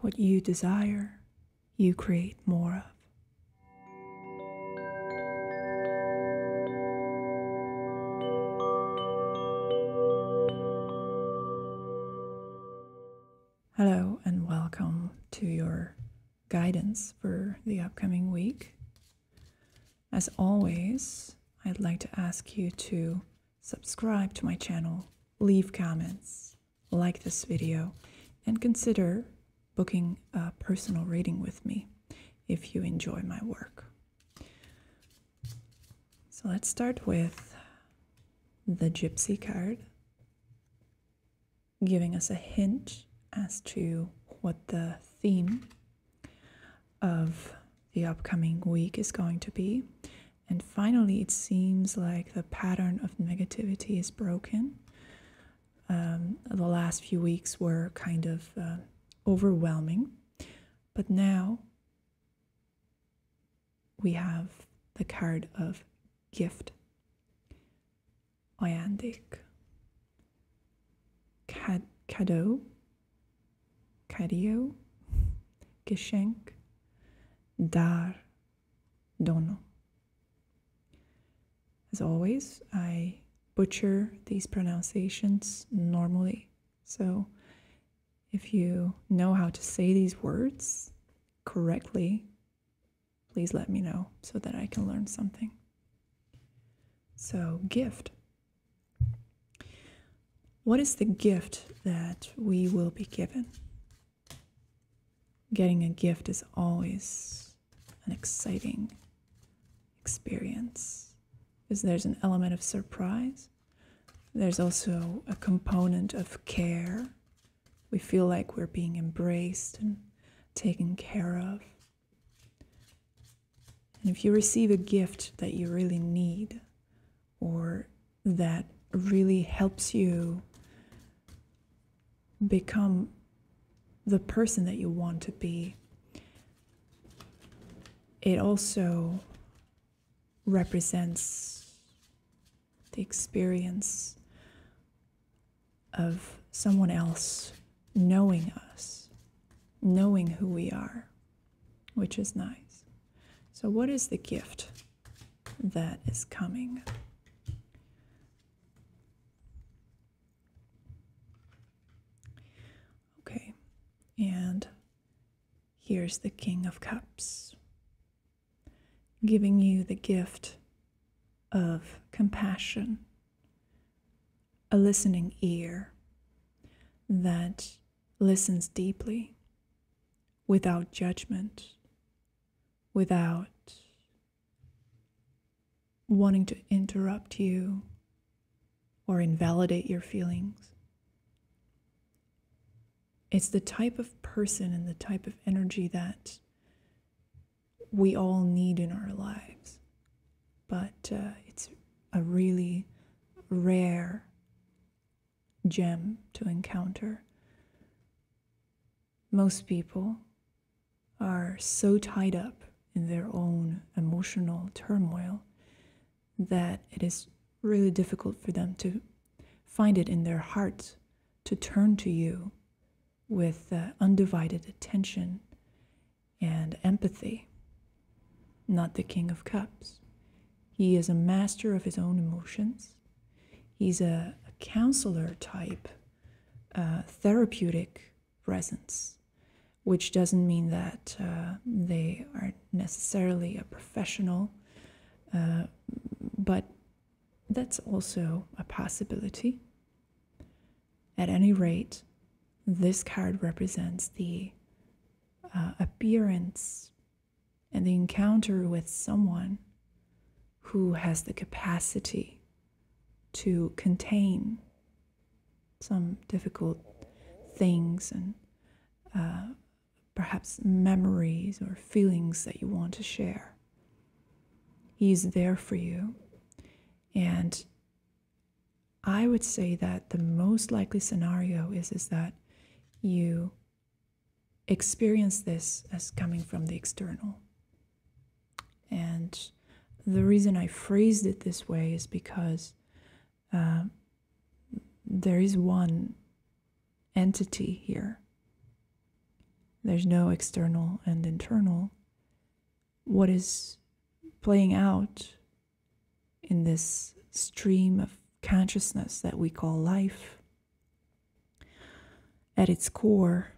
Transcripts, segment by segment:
What you desire, you create more of. Hello, and welcome to your guidance for the upcoming week. As always, I'd like to ask you to subscribe to my channel, leave comments, like this video, and consider booking a personal reading with me if you enjoy my work. So let's start with the Gypsy card, giving us a hint as to what the theme of the upcoming week is going to be and finally, it seems like the pattern of negativity is broken. Um, the last few weeks were kind of uh, overwhelming, but now we have the card of gift, ayandik, cadeau, Cario, Geschenk, Dar, Dono. As always, I butcher these pronunciations normally. So if you know how to say these words correctly, please let me know so that I can learn something. So, gift. What is the gift that we will be given? Getting a gift is always an exciting experience because there's an element of surprise. There's also a component of care. We feel like we're being embraced and taken care of. And if you receive a gift that you really need or that really helps you become the person that you want to be, it also represents the experience of someone else knowing us, knowing who we are, which is nice. So, what is the gift that is coming? Okay, and here's the King of Cups giving you the gift of compassion a listening ear that listens deeply without judgment, without wanting to interrupt you or invalidate your feelings. It's the type of person and the type of energy that we all need in our lives but uh, it's a really rare gem to encounter. Most people are so tied up in their own emotional turmoil that it is really difficult for them to find it in their hearts to turn to you with uh, undivided attention and empathy, not the King of Cups. He is a master of his own emotions. He's a, counselor type, uh, therapeutic presence, which doesn't mean that uh, they are necessarily a professional, uh, but that's also a possibility. At any rate, this card represents the uh, appearance and the encounter with someone who has the capacity to contain some difficult things and uh, perhaps memories or feelings that you want to share. He is there for you. And I would say that the most likely scenario is, is that you experience this as coming from the external. And the reason I phrased it this way is because uh, there is one entity here. There's no external and internal, what is playing out in this stream of consciousness that we call life at its core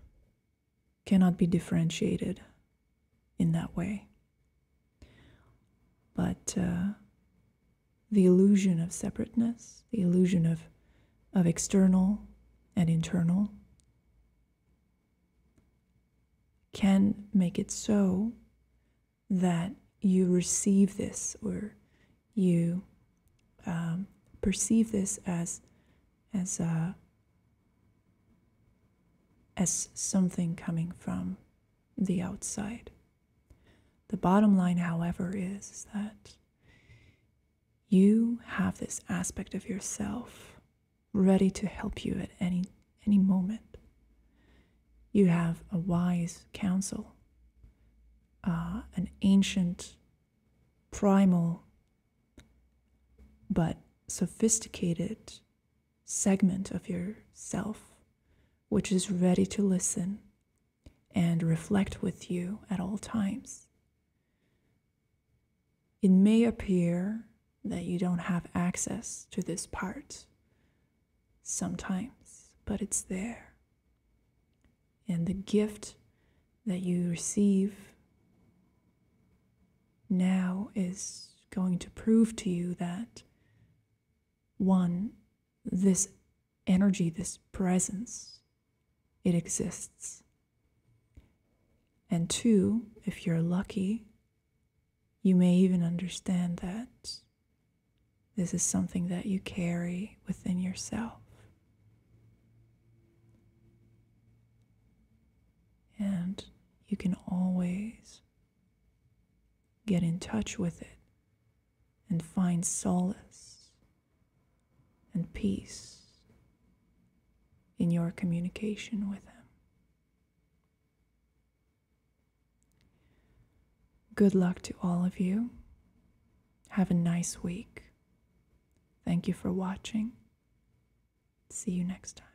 cannot be differentiated in that way. But uh, the illusion of separateness, the illusion of of external and internal can make it so that you receive this or you um, perceive this as uh, as something coming from the outside. The bottom line, however, is that you have this aspect of yourself ready to help you at any any moment. You have a wise counsel, uh, an ancient, primal, but sophisticated segment of yourself, which is ready to listen and reflect with you at all times. It may appear that you don't have access to this part sometimes, but it's there. And the gift that you receive now is going to prove to you that one, this energy, this presence, it exists. And two, if you're lucky, you may even understand that this is something that you carry within yourself. And you can always get in touch with it and find solace and peace in your communication with them. Good luck to all of you. Have a nice week. Thank you for watching. See you next time.